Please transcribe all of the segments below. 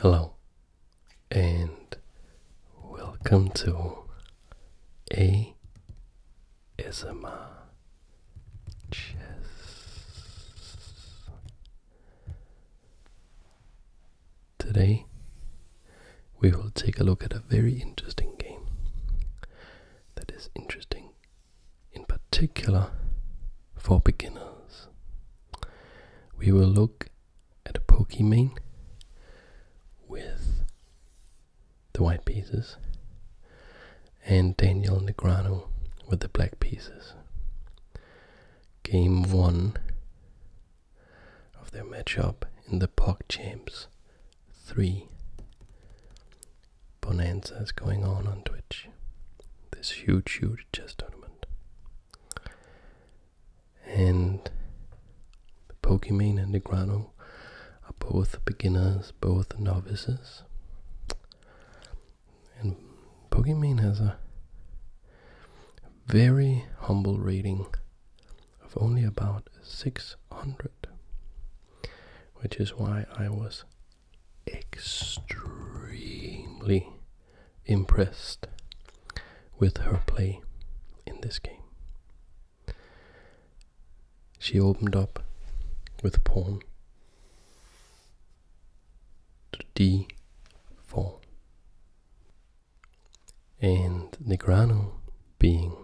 Hello, and welcome to a ASMR Chess. Today, we will take a look at a very interesting game that is interesting in particular for beginners we will look at a Pokemon with the white pieces and Daniel Negrano with the black pieces. Game 1 of their matchup in the POG Champs 3 Bonanza is going on on Twitch. This huge, huge chess tournament. And the Pokimane and the Grano are both beginners, both novices. And Pokimane has a very humble rating of only about 600, which is why I was extremely impressed with her play in this game. She opened up with pawn to d4. And Negrano, being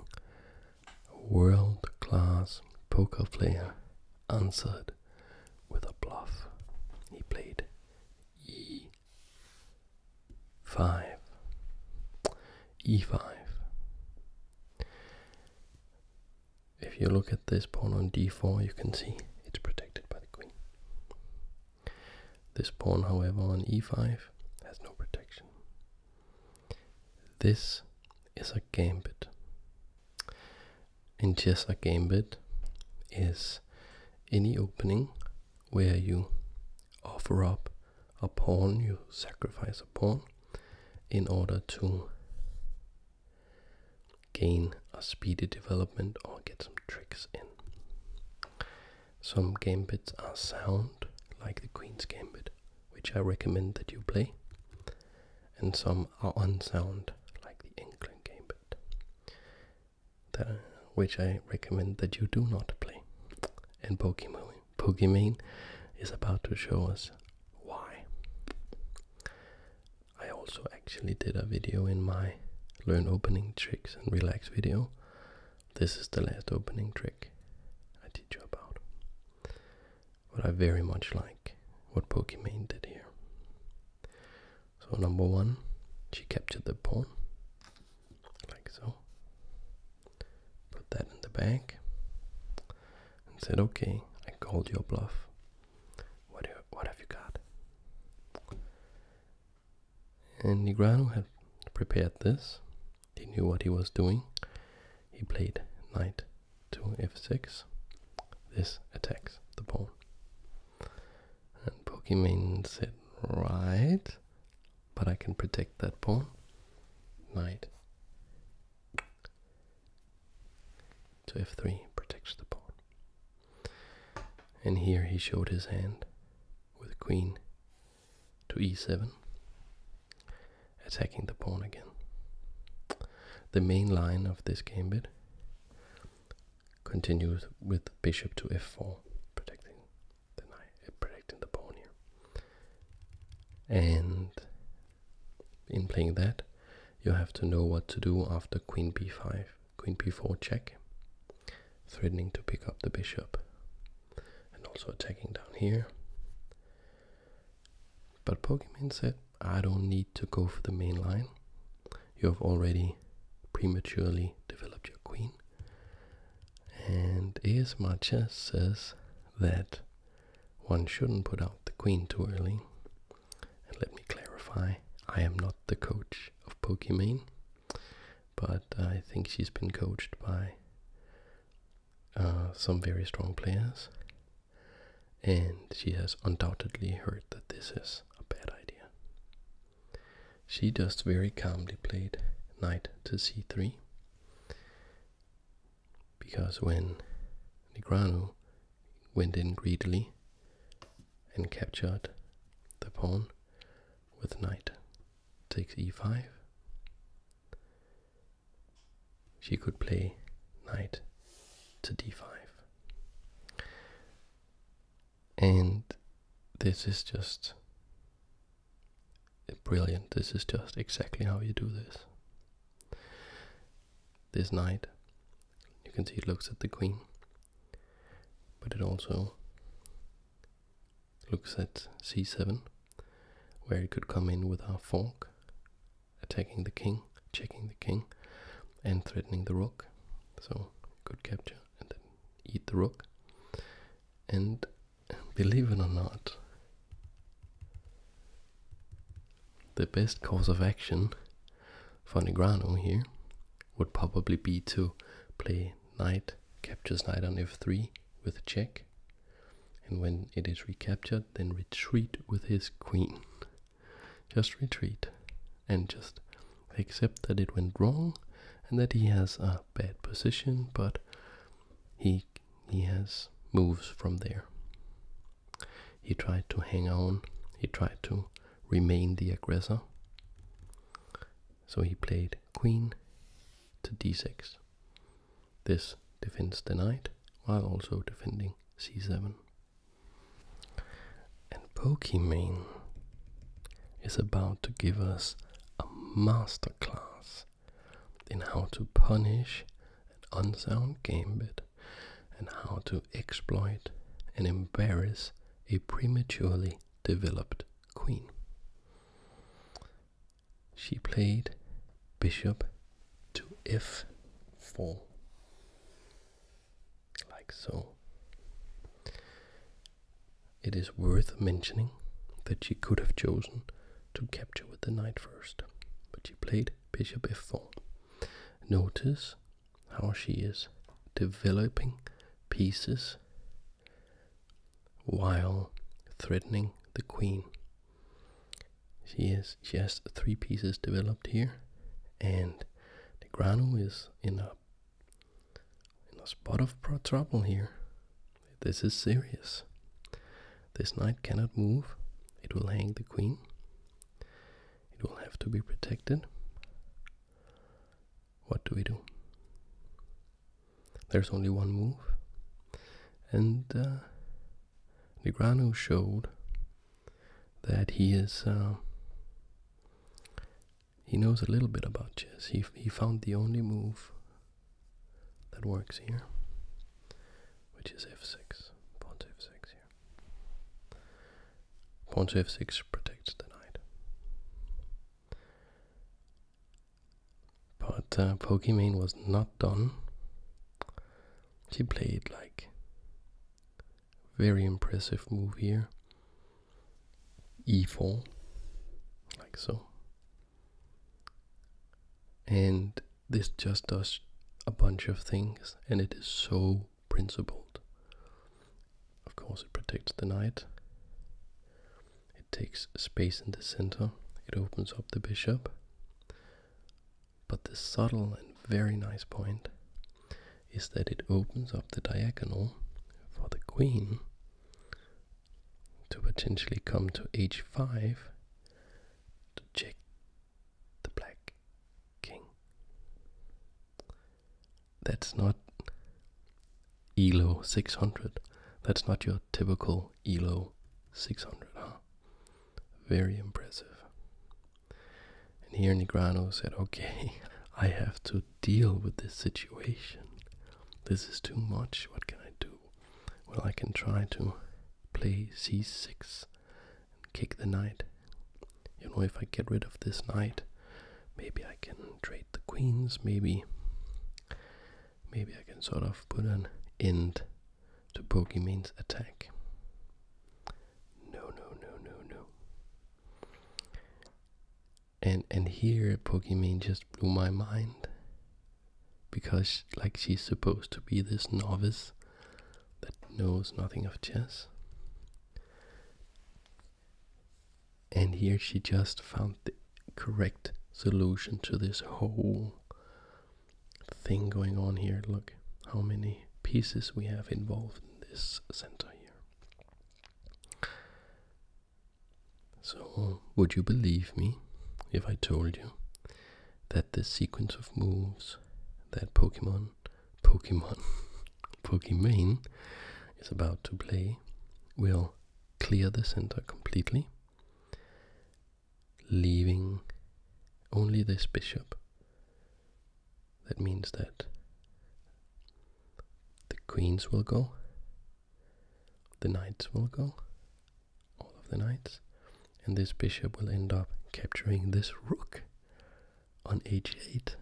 a world class poker player, answered with a bluff. He played e five e five if you look at this pawn on d4 you can see it's protected by the queen this pawn however on e5 has no protection this is a gambit in chess or gambit is any opening where you offer up a pawn, you sacrifice a pawn in order to gain a speedy development or get some tricks in. Some gambits are sound, like the Queen's Gambit, which I recommend that you play, and some are unsound, like the England Gambit that which I recommend that you do not play. And Pokemon Pokimane is about to show us why. I also actually did a video in my learn opening tricks and relax video. This is the last opening trick I teach you about. But I very much like what Pokimane did here. So number one, she captured the pawn, like so. Put that in the bag and said, okay, I called your bluff. What, what have you got? And Negrano had prepared this. He knew what he was doing. He played knight to f6. This attacks the pawn. And means it right. But I can protect that pawn. Knight So f3 protects the pawn. And here he showed his hand with queen to e7, attacking the pawn again. The main line of this gambit continues with bishop to f4, protecting the knight, eh, protecting the pawn here. And in playing that, you have to know what to do after queen b5, queen b4 check, threatening to pick up the bishop, and also attacking down here. But Pokemon said, I don't need to go for the main line you have already prematurely developed your queen. And ASMR Chess says that one shouldn't put out the queen too early. let me clarify, I am not the coach of Pokimane, but I think she's been coached by uh, some very strong players. And she has undoubtedly heard that this is a bad idea. She just very calmly played knight to c3 because when Negrano went in greedily and captured the pawn with knight takes e5, she could play knight to d5 and this is just brilliant. This is just exactly how you do this. This knight, you can see it looks at the queen, but it also looks at c7, where it could come in with our fork, attacking the king, checking the king, and threatening the rook. So good capture and then eat the rook. And believe it or not, the best course of action for Negrano here would probably be to play knight captures knight on f3 with check and when it is recaptured then retreat with his queen just retreat and just accept that it went wrong and that he has a bad position, but he he has moves from there. He tried to hang on, he tried to remain the aggressor. So he played queen to d6. This defends the knight while also defending c7. And Pokimane is about to give us a masterclass in how to punish an unsound gambit and how to exploit and embarrass a prematurely developed queen. She played bishop to f4 like so. It is worth mentioning that she could have chosen to capture with the knight first, but she played bishop f4. Notice how she is developing pieces while threatening the queen. She is she has three pieces developed here, and the grano is in a in a spot of trouble here. This is serious. This knight cannot move. It will hang the queen. It will have to be protected. What do we do? There's only one move. And uh, Negrano showed that he is uh, he knows a little bit about chess. He he found the only move that works here, which is f6. Pawn to f6 here. Pawn to f6 protects the knight. But uh, Pokimane was not done. She played like very impressive move here e4, like so. And this just does a bunch of things, and it is so principled. Of course, it protects the knight, it takes space in the center, it opens up the bishop. But this subtle and very nice point is that it opens up the diagonal for the queen to potentially come to h5 to check the black king. That's not ELO 600. That's not your typical ELO 600, huh? Very impressive. And here Nigrano said, Okay, I have to deal with this situation. This is too much. What can I do? Well, I can try to play c6 and kick the knight. You know, if I get rid of this knight, maybe I can trade the queens, maybe. Maybe I can sort of put an end to Pokemane's attack. No, no, no, no, no and and here Pokimane just blew my mind because like she's supposed to be this novice that knows nothing of chess and here she just found the correct solution to this whole thing going on here look how many pieces we have involved in this center here so, would you believe me if I told you that the sequence of moves that Pokemon, Pokemon, Pokimane is about to play will clear the center completely, leaving only this bishop that means that the queens will go, the knights will go, all of the knights, and this bishop will end up capturing this rook on h8.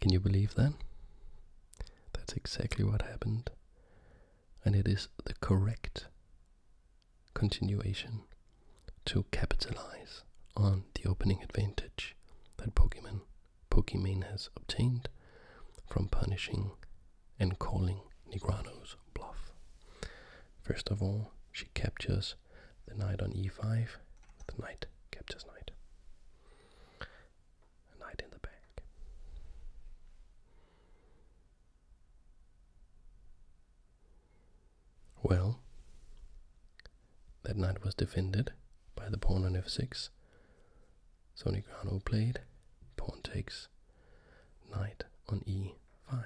Can you believe that? That's exactly what happened, and it is the correct continuation to capitalize on the opening advantage that Pokemon Pokimane has obtained from punishing and calling Negrano's bluff. First of all, she captures the knight on e5, the knight captures knight. A knight in the back. Well, that knight was defended by the pawn on f6. Sony Grano played, pawn takes, knight on e5.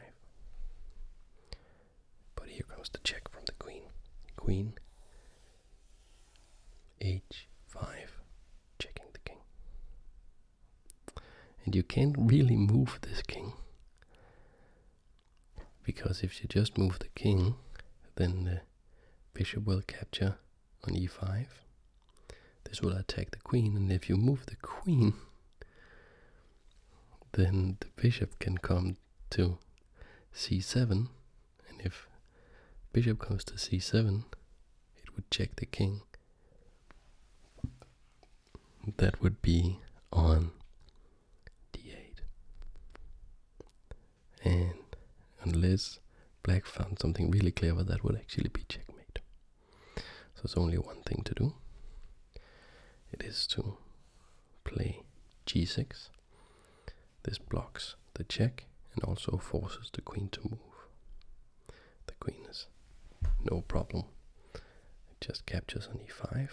But here comes the check from the queen. Queen h5, checking the king. And you can't really move this king because if you just move the king, then the bishop will capture on e5. This will attack the queen, and if you move the queen, then the bishop can come to c7, and if bishop comes to c7, it would check the king. That would be on d8. And unless black found something really clever, that would actually be checkmate. So it's only one thing to do. It is to play g6. This blocks the check and also forces the queen to move. The queen is no problem. It just captures on e5,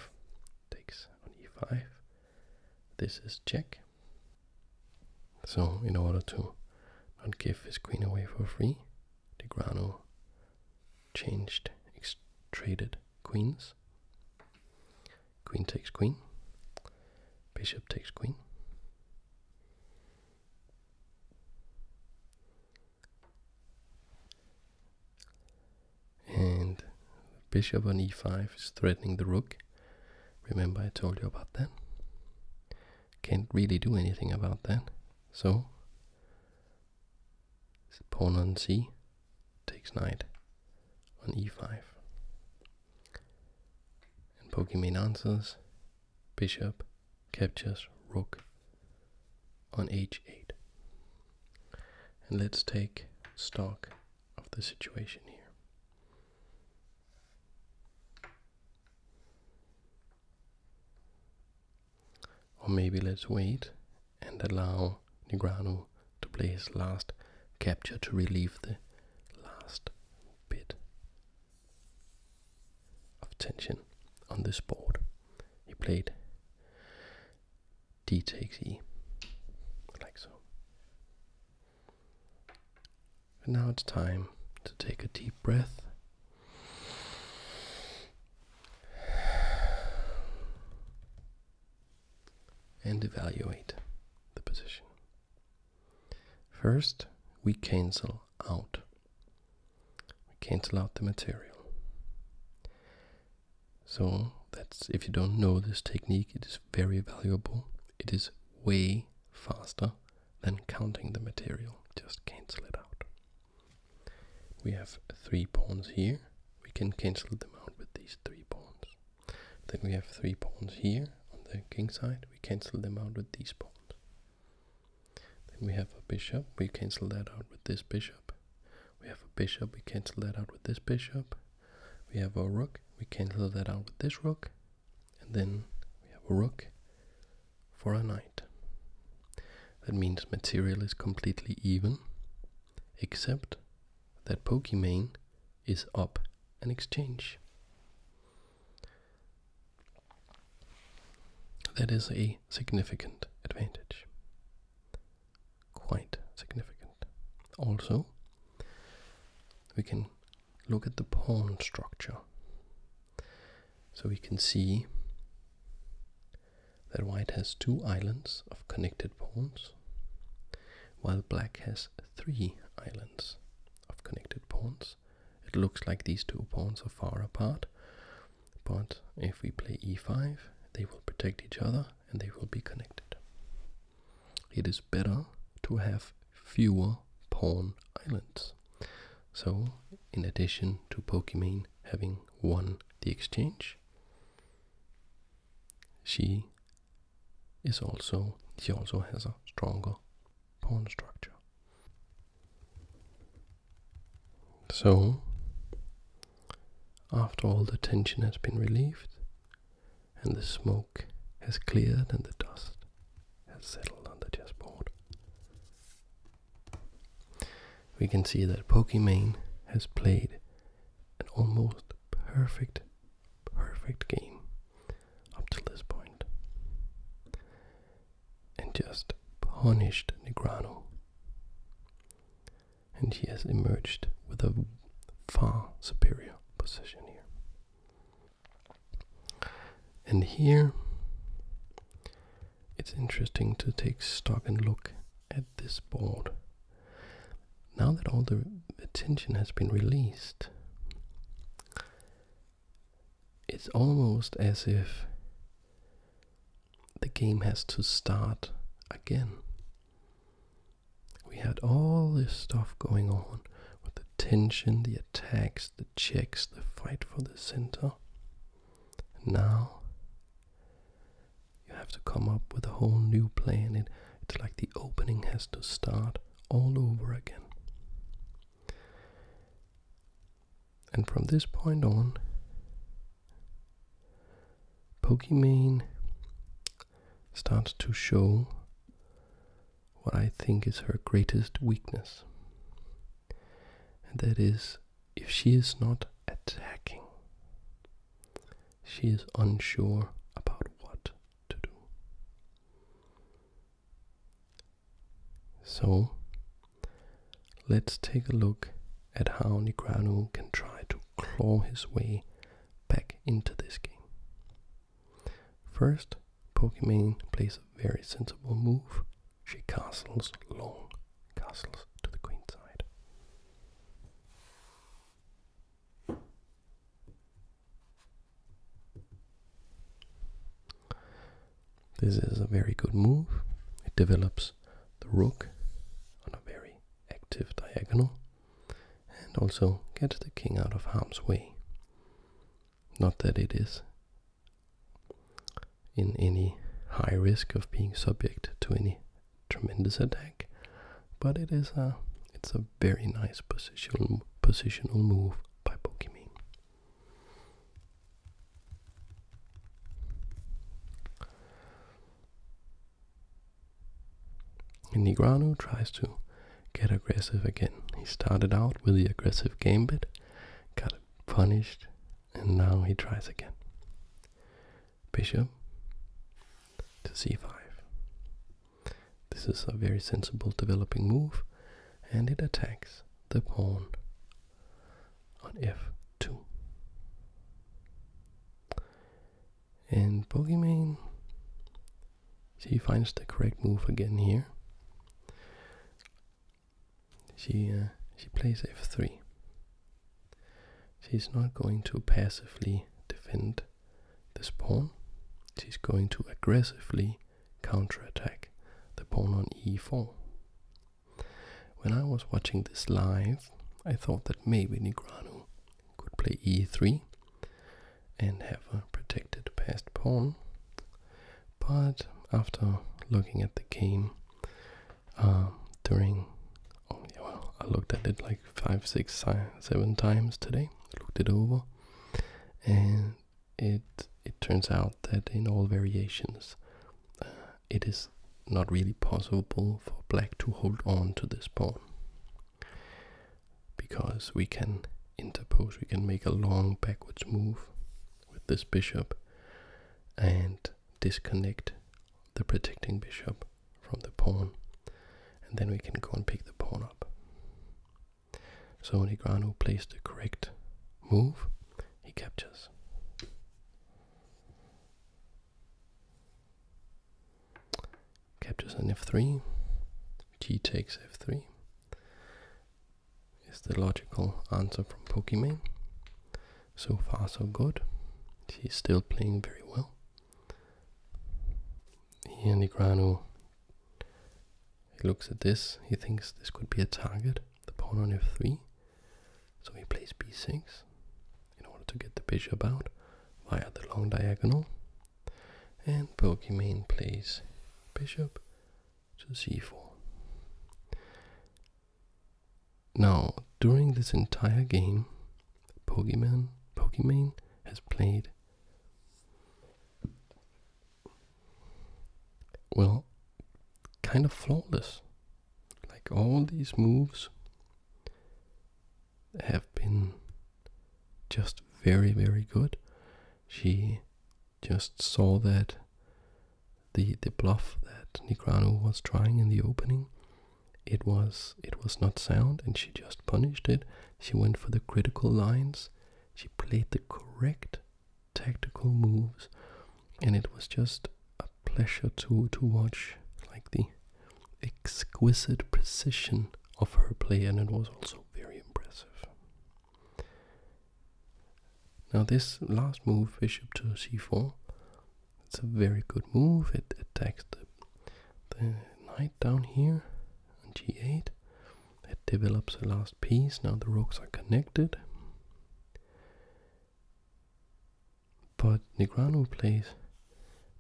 takes on e5, this is check. So, in order to not give his queen away for free, Tigrano changed, traded queens. Queen takes queen, bishop takes queen and bishop on e5 is threatening the rook. Remember I told you about that. Can't really do anything about that. So pawn on c takes knight on e5. And Pokemon answers bishop captures rook on h8. And let's take stock of the situation here. Or maybe let's wait and allow Negrano to play his last capture to relieve the last bit of tension on this board. He played d takes e, like so. And now it's time to take a deep breath. And evaluate the position. First, we cancel out. We cancel out the material. So that's if you don't know this technique, it is very valuable. It is way faster than counting the material. Just cancel it out. We have three pawns here. We can cancel them out with these three pawns. Then we have three pawns here on the king side. We cancel them out with these pawns. Then we have a bishop. We cancel that out with this bishop. We have a bishop. We cancel that out with this bishop. We have our rook. We cancel that out with this rook. And then we have a rook for a knight. That means material is completely even, except that Pokimane is up an exchange. That is a significant advantage quite significant. Also, we can look at the pawn structure. So we can see that white has two islands of connected pawns, while black has three islands of connected pawns. It looks like these two pawns are far apart, but if we play e5, they will protect each other and they will be connected. It is better to have fewer pawn islands. So, in addition to Pokimane having won the exchange, she is also she also has a stronger pawn structure. So, after all the tension has been relieved, and the smoke has cleared and the dust has settled on the chessboard. We can see that Pokimane has played an almost perfect, perfect game up till this point and just punished Negrano and he has emerged with a far superior position here. And here it's interesting to take stock and look at this board. Now that all the tension has been released, it's almost as if the game has to start again. We had all this stuff going on with the tension, the attacks, the checks, the fight for the center. And now you have to come up with a whole new plan. It, it's like the opening has to start all over again. And from this point on, Pokimane starts to show what I think is her greatest weakness. And that is if she is not attacking, she is unsure about what to do. So let's take a look at how Nigranu can try to claw his way back into this game. First, Pokimane plays a very sensible move. She castles long castles to the queen side. This is a very good move. It develops the rook on a very active diagonal and also get the king out of harm's way. Not that it is in any high risk of being subject to any tremendous attack, but it is a it's a very nice positional positional move by Pokimane. And Nigrano tries to get aggressive again. He started out with the aggressive gambit, got punished, and now he tries again. Bishop to c5. This is a very sensible developing move, and it attacks the pawn on f2. And Pokimane, she finds the correct move again here. She, uh, she plays f3. She's not going to passively defend this pawn. She's going to aggressively counterattack the pawn on e4. When I was watching this live, I thought that maybe Nigranu could play e3 and have a protected passed pawn. But after looking at the game um, during, oh, well, I looked at it like five, six, seven times today. Looked it over, and it it turns out that in all variations, uh, it is not really possible for black to hold on to this pawn because we can interpose, we can make a long backwards move with this bishop and disconnect the protecting bishop from the pawn, and then we can go and pick the pawn up. So Negrano plays the correct move, he captures captures on f3, g takes f3 is the logical answer from Pokimane. So far so good. She's still playing very well. Here Nigrano he looks at this, he thinks this could be a target, the pawn on f3. So he plays b6 in order to get the bishop out via the long diagonal and Pokemon plays bishop to c4. Now, during this entire game, Pokemon Pokemon has played well kind of flawless. Like all these moves have been just very, very good. She just saw that the the bluff that Nigrano was trying in the opening, it was it was not sound, and she just punished it. She went for the critical lines. She played the correct tactical moves, and it was just a pleasure to to watch like the exquisite precision of her play, and it was also very impressive. Now, this last move, bishop to c4, it's a very good move. It attacks the, knight down here on g8. It develops the last piece. Now the rooks are connected. But Negrano plays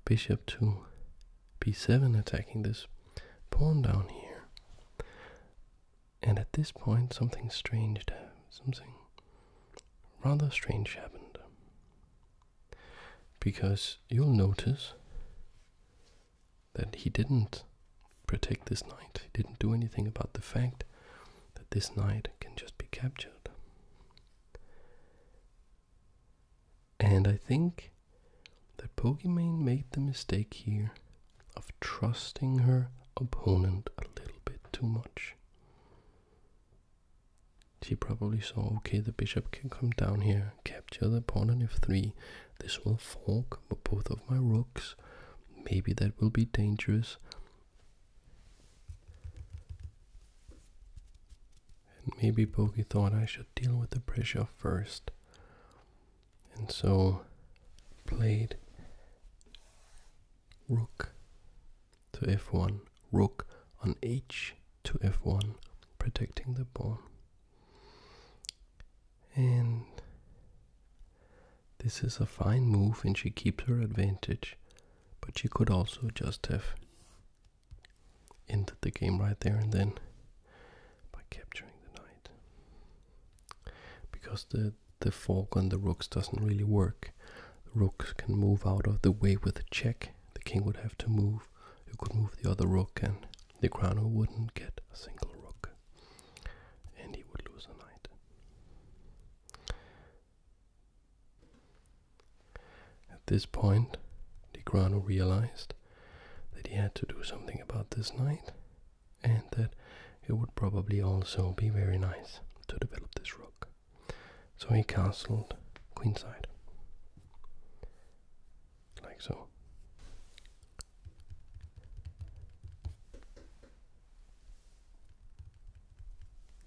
bishop to b7 attacking this pawn down here. And at this point something strange, something rather strange happened. Because you'll notice that he didn't protect this knight. He didn't do anything about the fact that this knight can just be captured. And I think that Pokimane made the mistake here of trusting her opponent a little bit too much. She probably saw, okay, the bishop can come down here, capture the pawn on f3. This will fork both of my rooks. Maybe that will be dangerous. And maybe Bogey thought I should deal with the pressure first. And so played rook to f1, rook on h to f1, protecting the pawn. And this is a fine move and she keeps her advantage, but she could also just have ended the game right there and then by capturing the knight. Because the, the fork on the rooks doesn't really work. The rooks can move out of the way with a check. The king would have to move. You could move the other rook and the crown wouldn't get a single rook. And he would lose the knight. At this point, Grano realized that he had to do something about this knight, and that it would probably also be very nice to develop this rook. So he castled queenside. Like so.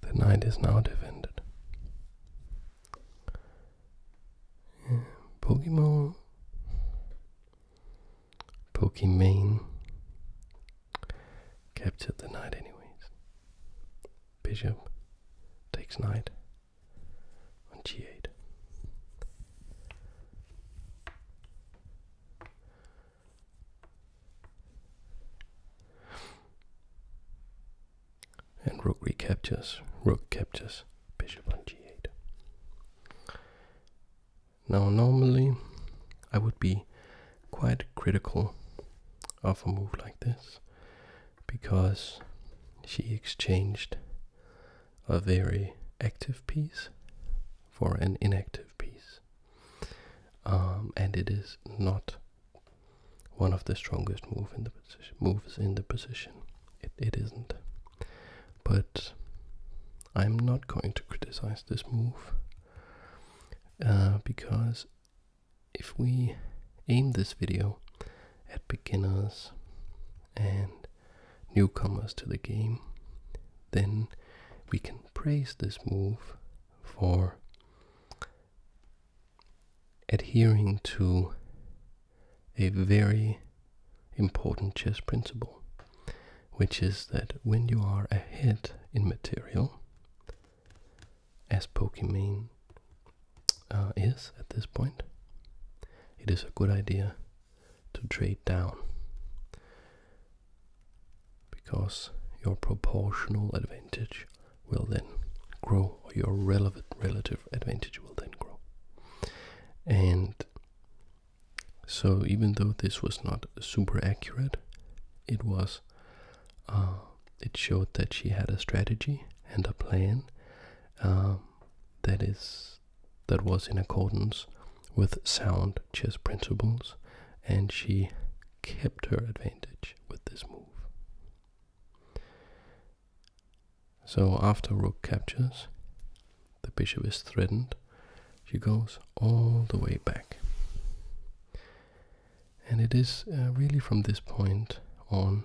The knight is now defended. Pokemon, Pokemon, Pokimane captured the night, anyways. Bishop takes knight on g8 and rook recaptures, rook captures bishop on g8. Now normally I would be quite critical of a move like this because she exchanged a very active piece for an inactive piece. Um, and it is not one of the strongest move in the position moves in the position. It, it isn't. But I'm not going to criticize this move uh, because if we aim this video at beginners and newcomers to the game, then we can praise this move for adhering to a very important chess principle, which is that when you are ahead in material, as Pokimane uh, is at this point, it is a good idea to trade down because your proportional advantage will then grow your relevant relative advantage will then grow. And so, even though this was not super accurate, it was. Uh, it showed that she had a strategy and a plan um, that is that was in accordance with sound chess principles, and she kept her advantage with this move. So after rook captures, the bishop is threatened. She goes all the way back. And it is uh, really from this point on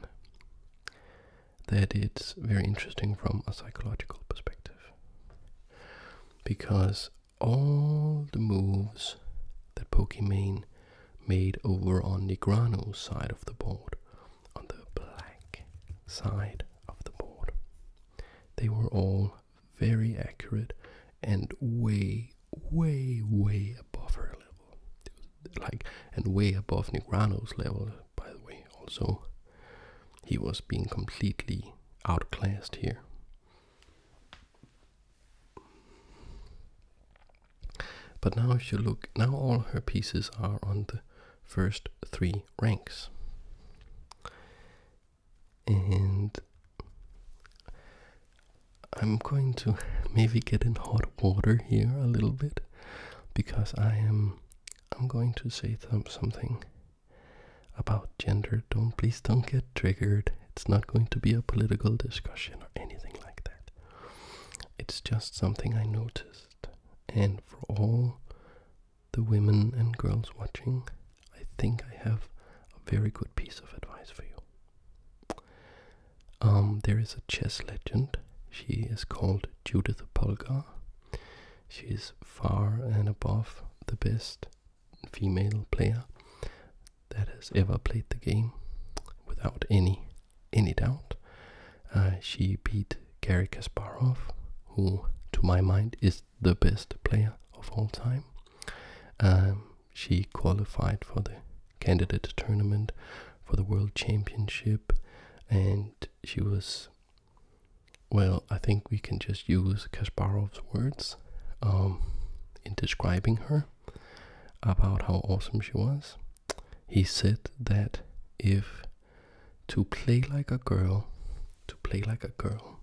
that it's very interesting from a psychological perspective. Because all the moves that Pokimane made over on Negrano's side of the board, on the black side of the board. They were all very accurate and way, way, way above her level. Like, and way above Negrano's level, by the way, also. He was being completely outclassed here. But now if you look, now all her pieces are on the first three ranks. And I'm going to maybe get in hot water here a little bit because I am I'm going to say something about gender. Don't please don't get triggered. It's not going to be a political discussion or anything like that. It's just something I notice and for all the women and girls watching, I think I have a very good piece of advice for you. Um, there is a chess legend. She is called Judith Polgar. She is far and above the best female player that has ever played the game without any in it out. Uh, she beat Gary Kasparov, who, to my mind, is the best player of all time. Um, she qualified for the candidate tournament for the World Championship, and she was, well, I think we can just use Kasparov's words um, in describing her about how awesome she was. He said that if to play like a girl, to play like a girl,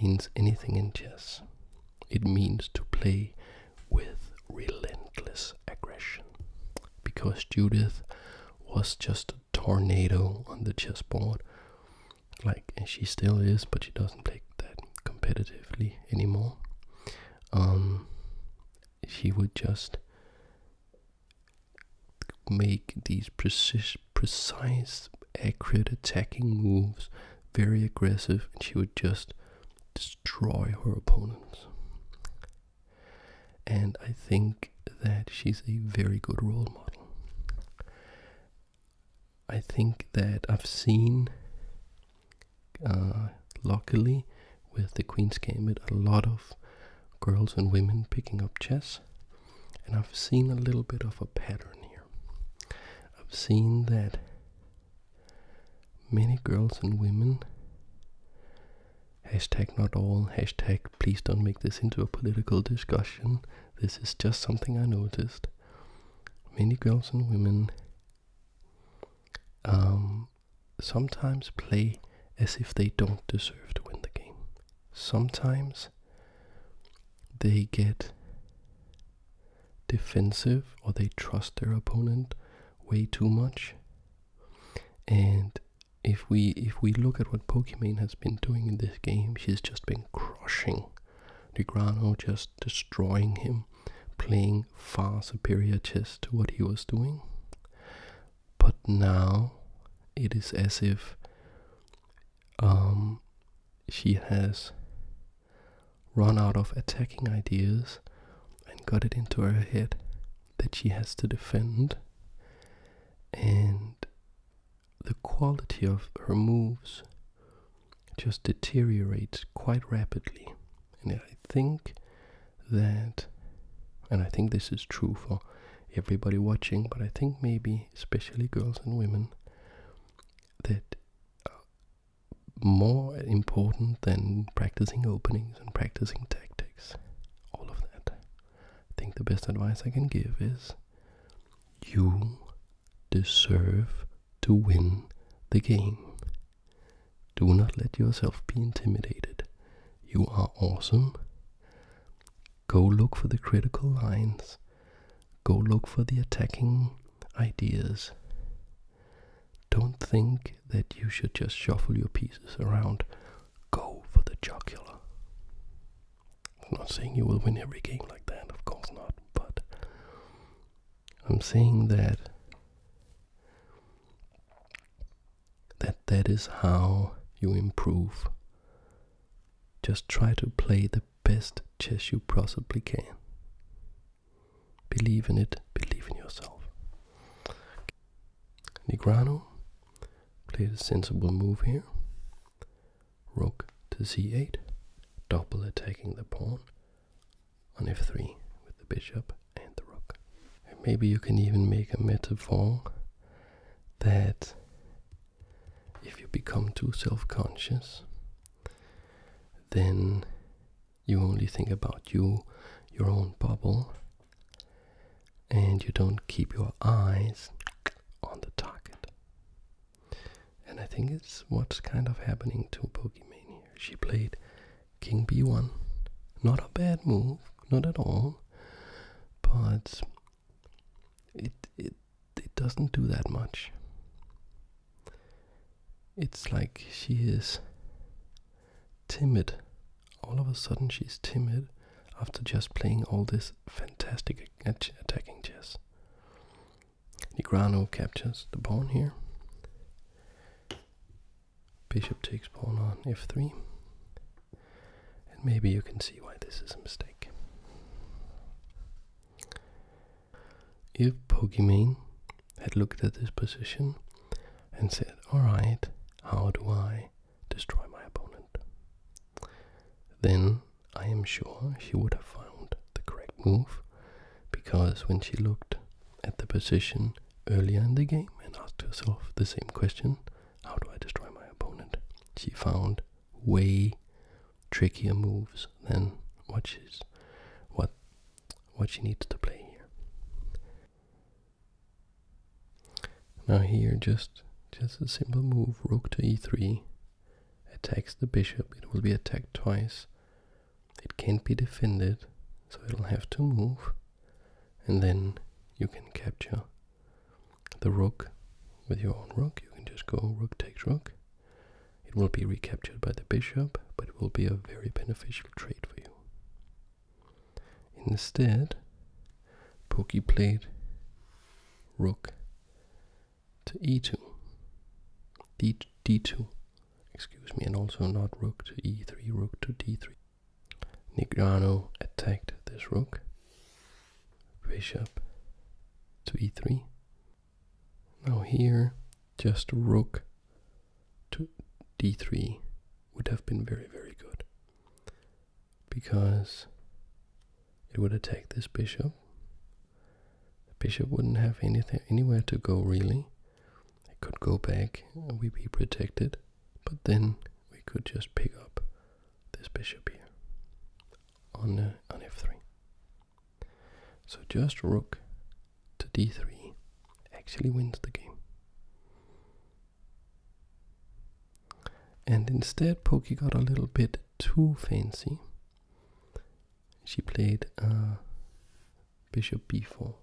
means anything in chess. It means to play with relentless aggression. Because Judith was just a tornado on the chessboard. Like, she still is, but she doesn't play that competitively anymore. Um, she would just make these precise, precise, accurate attacking moves, very aggressive, and she would just destroy her opponents. And I think that she's a very good role model. I think that I've seen, uh, luckily, with the Queen's Gambit, a lot of girls and women picking up chess. And I've seen a little bit of a pattern here. I've seen that many girls and women, hashtag not all, hashtag please don't make this into a political discussion, this is just something I noticed. Many girls and women um, sometimes play as if they don't deserve to win the game. Sometimes they get defensive or they trust their opponent way too much. And if we if we look at what Pokémon has been doing in this game, she's just been crushing Grano just destroying him, playing far superior chess to what he was doing but now it is as if um, she has run out of attacking ideas and got it into her head that she has to defend and the quality of her moves just deteriorates quite rapidly and i think that, and I think this is true for everybody watching, but I think maybe especially girls and women, that uh, more important than practicing openings and practicing tactics, all of that. I think the best advice I can give is you deserve to win the game. Do not let yourself be intimidated. You are awesome. Go look for the critical lines. Go look for the attacking ideas. Don't think that you should just shuffle your pieces around. Go for the jocular. I'm not saying you will win every game like that, of course not, but I'm saying that that that is how you improve. Just try to play the best chess you possibly can. Believe in it, believe in yourself. Negrano play a sensible move here. Rook to c8, double attacking the pawn on f3 with the bishop and the rook maybe you can even make a metaphor that if you become too self-conscious, then you only think about you, your own bubble, and you don't keep your eyes on the target. And I think it's what's kind of happening to here. She played king b1. Not a bad move, not at all, but it it it doesn't do that much. It's like she is timid. All of a sudden, she's timid after just playing all this fantastic attacking chess. Negrano captures the pawn here. Bishop takes pawn on f3. And maybe you can see why this is a mistake. If Pokimane had looked at this position and said, alright, how do I destroy my opponent? Then I am sure she would have found the correct move because when she looked at the position earlier in the game and asked herself the same question How do I destroy my opponent? She found way trickier moves than what she's what what she needs to play here. Now here just just a simple move, rook to e3, attacks the bishop, it will be attacked twice. It can't be defended, so it'll have to move and then you can capture the rook with your own rook. You can just go rook takes rook. It will be recaptured by the bishop, but it will be a very beneficial trade for you. Instead, Pokey played rook to e2, d, d2, excuse me, and also not rook to e3, rook to d3. Nigrano attacked this rook. Bishop to e3. Now here, just rook to d3 would have been very, very good. Because it would attack this bishop. bishop wouldn't have anything anywhere to go really. It could go back, and we be protected. But then we could just pick up this bishop here on, uh, on f3. So just rook to d3 actually wins the game. And instead Pokey got a little bit too fancy. She played uh, bishop b4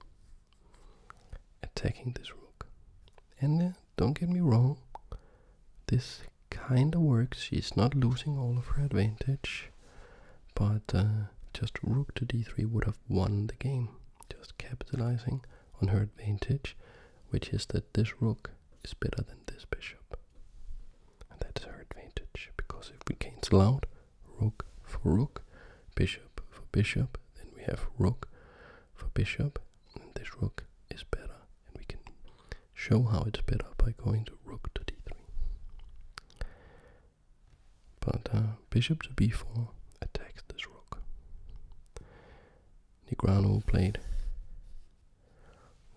attacking this rook. And uh, don't get me wrong, this kinda works. She's not losing all of her advantage, but uh, just rook to d3 would have won the game. Just capitalizing on her advantage, which is that this rook is better than this bishop. that's her advantage, because if we cancel out rook for rook, bishop for bishop, then we have rook for bishop, this rook is better, and we can show how it's better by going to rook to d3. But uh, bishop to b4 attacks this rook. Negrano played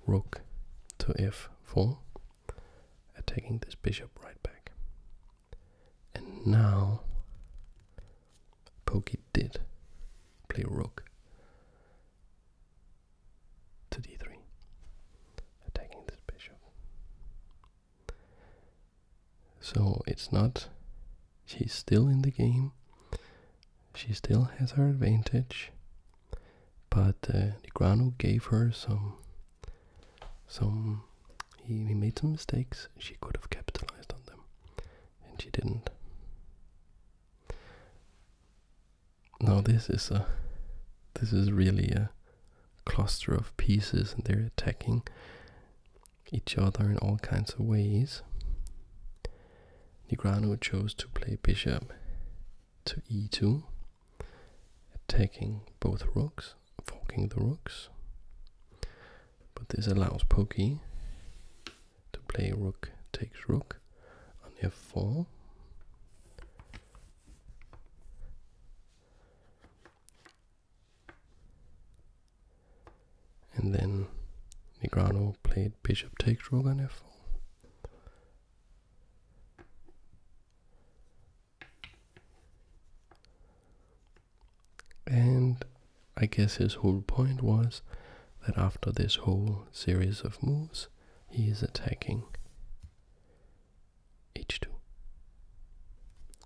rook to f4, attacking this bishop right back. And now Pokey did play rook to d3, attacking this bishop. So it's not, she's still in the game, she still has her advantage, but uh, Nigrano gave her some some he, he made some mistakes. She could have capitalized on them, and she didn't. Now this is a, this is really a cluster of pieces, and they're attacking each other in all kinds of ways. Nigrano chose to play bishop to e2, attacking both rooks, forking the rooks. But this allows Pokey to play rook takes rook on f4. And then Negrano played bishop takes rook on f4. And I guess his whole point was that after this whole series of moves, he is attacking h2.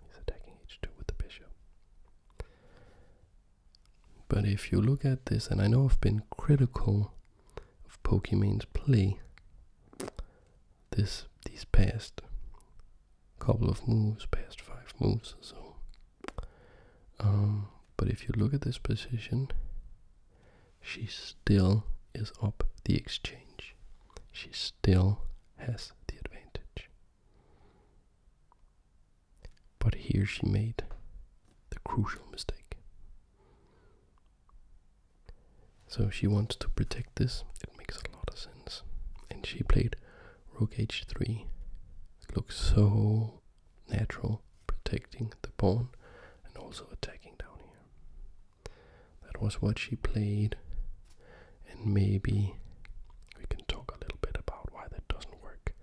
He's attacking h2 with the bishop. But if you look at this, and I know I've been critical of Pokemon's play this these past couple of moves, past five moves or so. Um, but if you look at this position, she still is up the exchange. She still has the advantage. But here she made the crucial mistake. So she wants to protect this. It makes a lot of sense. And she played rook h3. looks so natural, protecting the pawn and also attacking down here. That was what she played, and maybe we can talk a little bit about why that doesn't work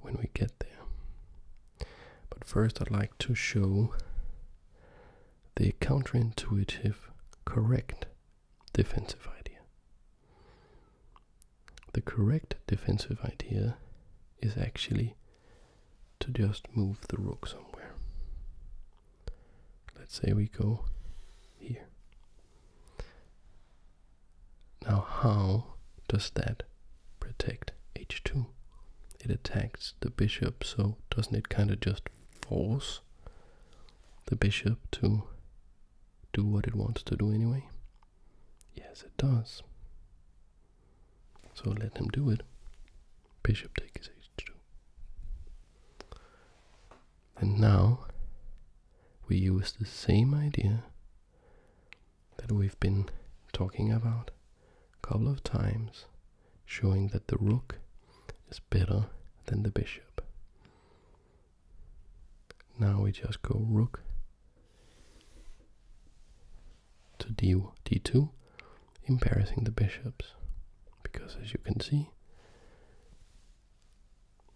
when we get there. But first, I'd like to show the counterintuitive correct defensive idea. The correct defensive idea is actually to just move the rook somewhere. Let's say we go here. Now, how does that protect h2? It attacks the bishop, so doesn't it kind of just force the bishop to do what it wants to do anyway? Yes, it does. So let him do it. Bishop takes h2. And now we use the same idea that we've been talking about a couple of times, showing that the rook is better than the bishop. Now we just go rook to d d2, embarrassing the bishops. Because as you can see,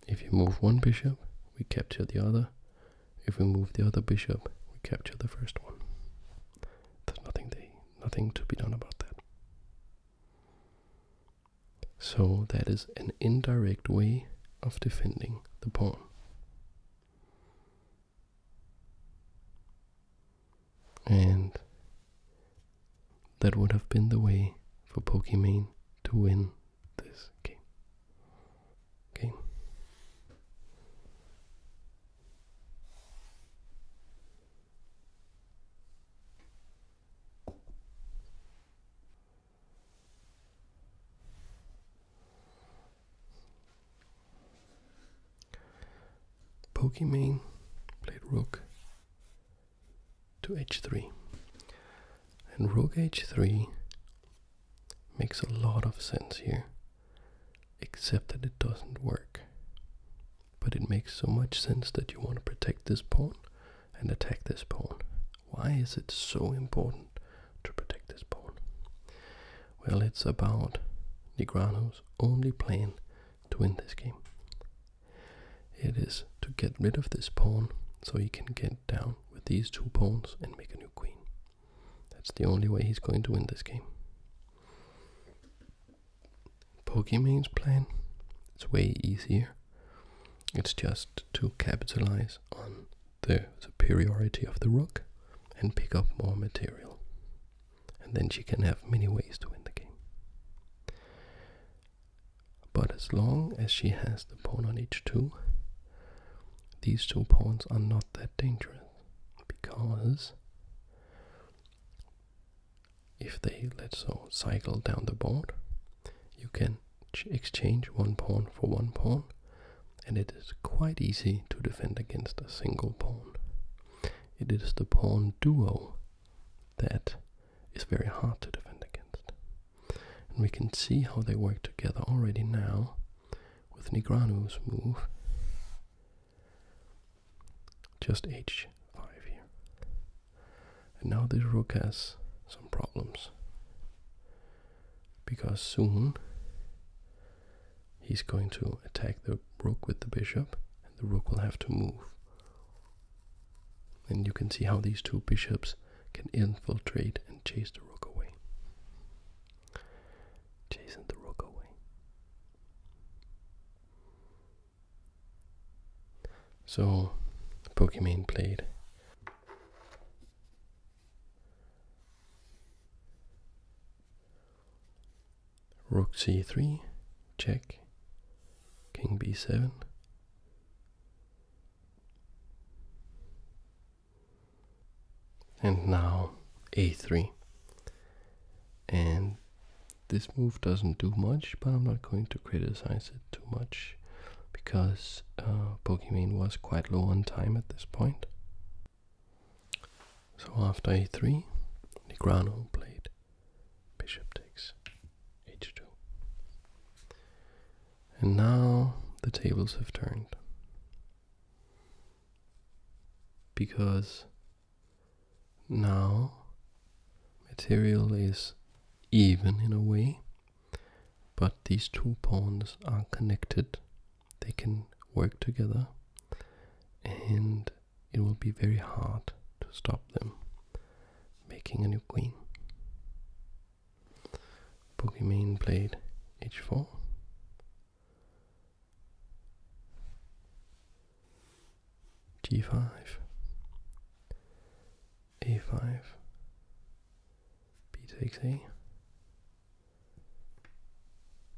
if you move one bishop, we capture the other. If we move the other bishop, we capture the first one. There's nothing nothing to be done about that. So that is an indirect way of defending the pawn. And that would have been the way for Pokimane to win this game. Okay. Pokimane played rook to h3. And rook h3 makes a lot of sense here, except that it doesn't work. But it makes so much sense that you want to protect this pawn and attack this pawn. Why is it so important to protect this pawn? Well, it's about Negrano's only plan to win this game. It is to get rid of this pawn so he can get down with these two pawns and make a new queen. That's the only way he's going to win this game. Pokemane's plan, it's way easier. It's just to capitalize on the superiority of the rook and pick up more material. And then she can have many ways to win the game. But as long as she has the pawn on h2, these two pawns are not that dangerous because if they, let's so, cycle down the board, you can exchange one pawn for one pawn, and it is quite easy to defend against a single pawn. It is the pawn duo that is very hard to defend against. And we can see how they work together already now with Nigranu's move. Just h5 here. And now the rook has some problems. Because soon he's going to attack the rook with the bishop, and the rook will have to move. And you can see how these two bishops can infiltrate and chase the rook away. Chasing the rook away. So, Pokemon played Rook c3, check. King b7. And now a3. And this move doesn't do much, but I'm not going to criticize it too much because uh, Pokemon was quite low on time at this point. So after a3, Negrano played bishop takes h2. And now the tables have turned. Because now material is even in a way but these two pawns are connected, they can work together, and it will be very hard to stop them making a new queen. Pokemon played h4. g5 a5, b takes a,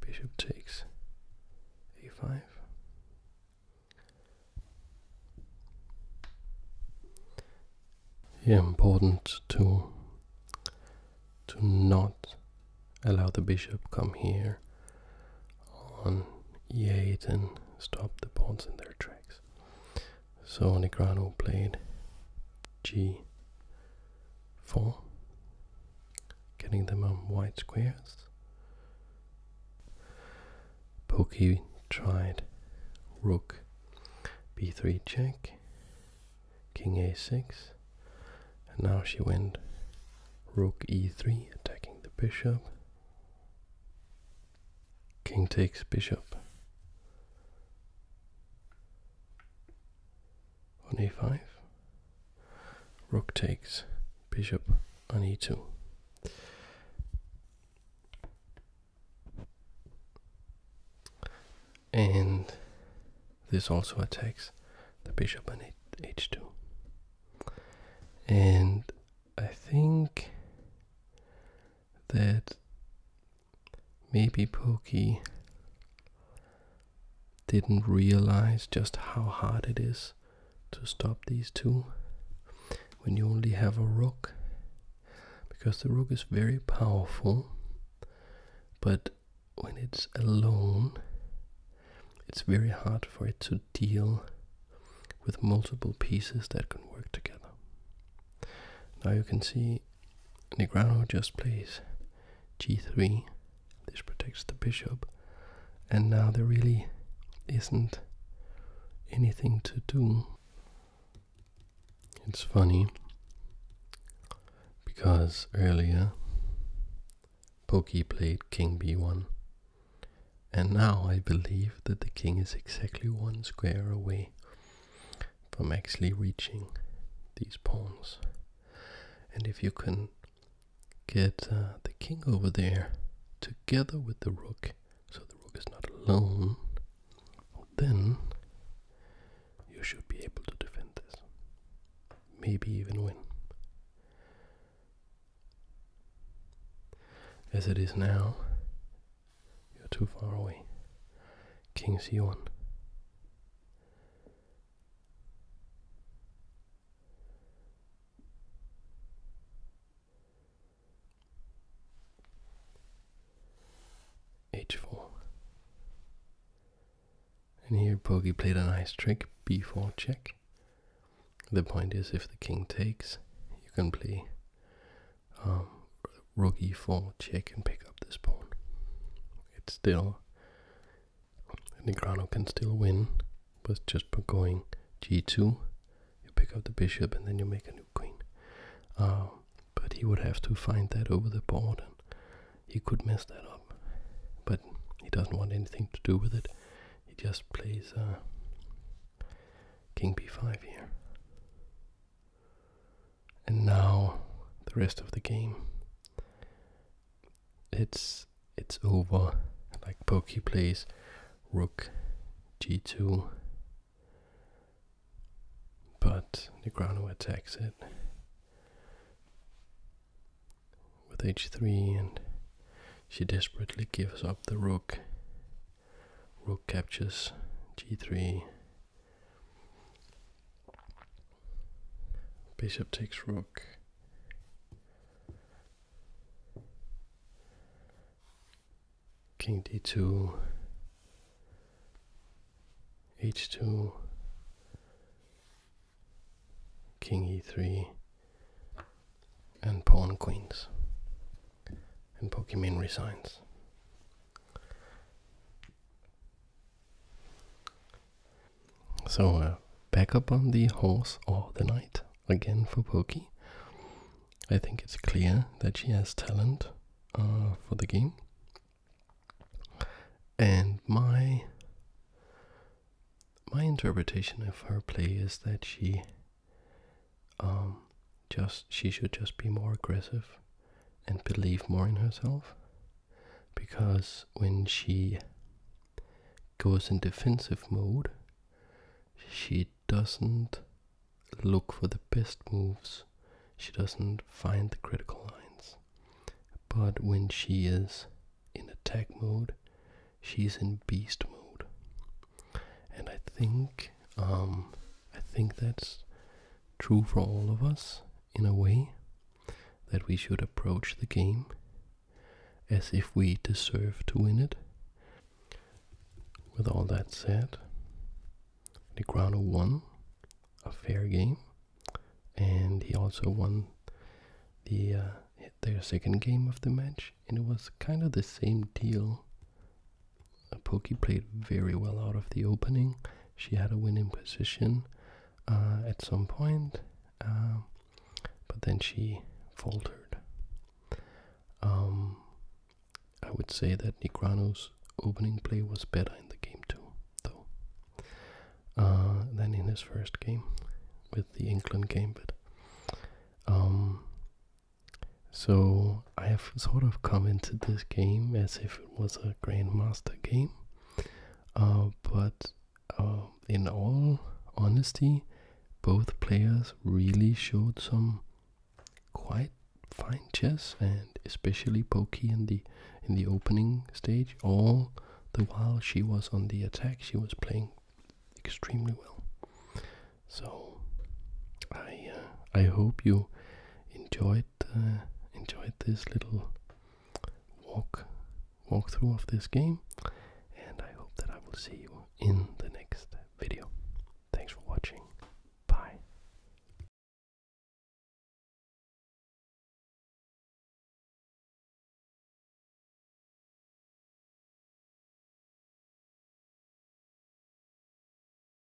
bishop takes a5, here important to to not allow the bishop come here on e8 and stop the pawns in their tracks so Negrano played g4, getting them on white squares. Pokey tried rook b3 check, king a6, and now she went rook e3, attacking the bishop. King takes bishop on a5. Rook takes bishop on e2. And this also attacks the bishop on h2. And I think that Maybe Pokey didn't realize just how hard it is to stop these two when you only have a rook. Because the rook is very powerful, but when it's alone, it's very hard for it to deal with multiple pieces that can work together. Now you can see Negrano just plays g3. This protects the bishop. And now there really isn't anything to do. It's funny because earlier Pokey played king b1 and now I believe that the king is exactly one square away from actually reaching these pawns. And if you can get uh, the king over there together with the rook, so the rook is not alone, then you should be able to defend this. Maybe even win. As it is now, you're too far away. King c1. h4. And here Poggi played a nice trick, b4 check. The point is if the king takes, you can play um, rookie full chick and pick up this pawn. It's still Negrano can still win, but just by going g2, you pick up the bishop and then you make a new queen. Um, but he would have to find that over the board, and he could mess that up. But he doesn't want anything to do with it. He just plays uh, king b5 here. And now the rest of the game. It's it's over. Like Pokey plays Rook G2. But Negrano attacks it with h3 and she desperately gives up the rook rook captures g3 bishop takes rook king d2 h2 king e3 and pawn queens and Pokemon resigns so, uh, back up on the horse all the night again for Pokey. I think it's clear that she has talent uh, for the game. And my my interpretation of her play is that she um, just she should just be more aggressive and believe more in herself because when she goes in defensive mode she doesn't look for the best moves she doesn't find the critical lines but when she is in attack mode she's in beast mode and i think um i think that's true for all of us in a way that we should approach the game as if we deserve to win it. With all that said, the Negrano won a fair game, and he also won the uh, their second game of the match, and it was kind of the same deal Pokey played very well out of the opening. She had a winning position uh, at some point, um, but then she faltered. Um, I would say that Nigrano's opening play was better in the game too, though, uh, than in his first game with the England game. Um, so I have sort of come into this game as if it was a Grandmaster game. Uh, but um, in all honesty, both players really showed some quite fine chess and especially Pokey in the in the opening stage. All the while she was on the attack, she was playing extremely well. So I uh, I hope you enjoyed. Uh, enjoyed this little walk walkthrough of this game, and I hope that I will see you in the next video. Thanks for watching. Bye.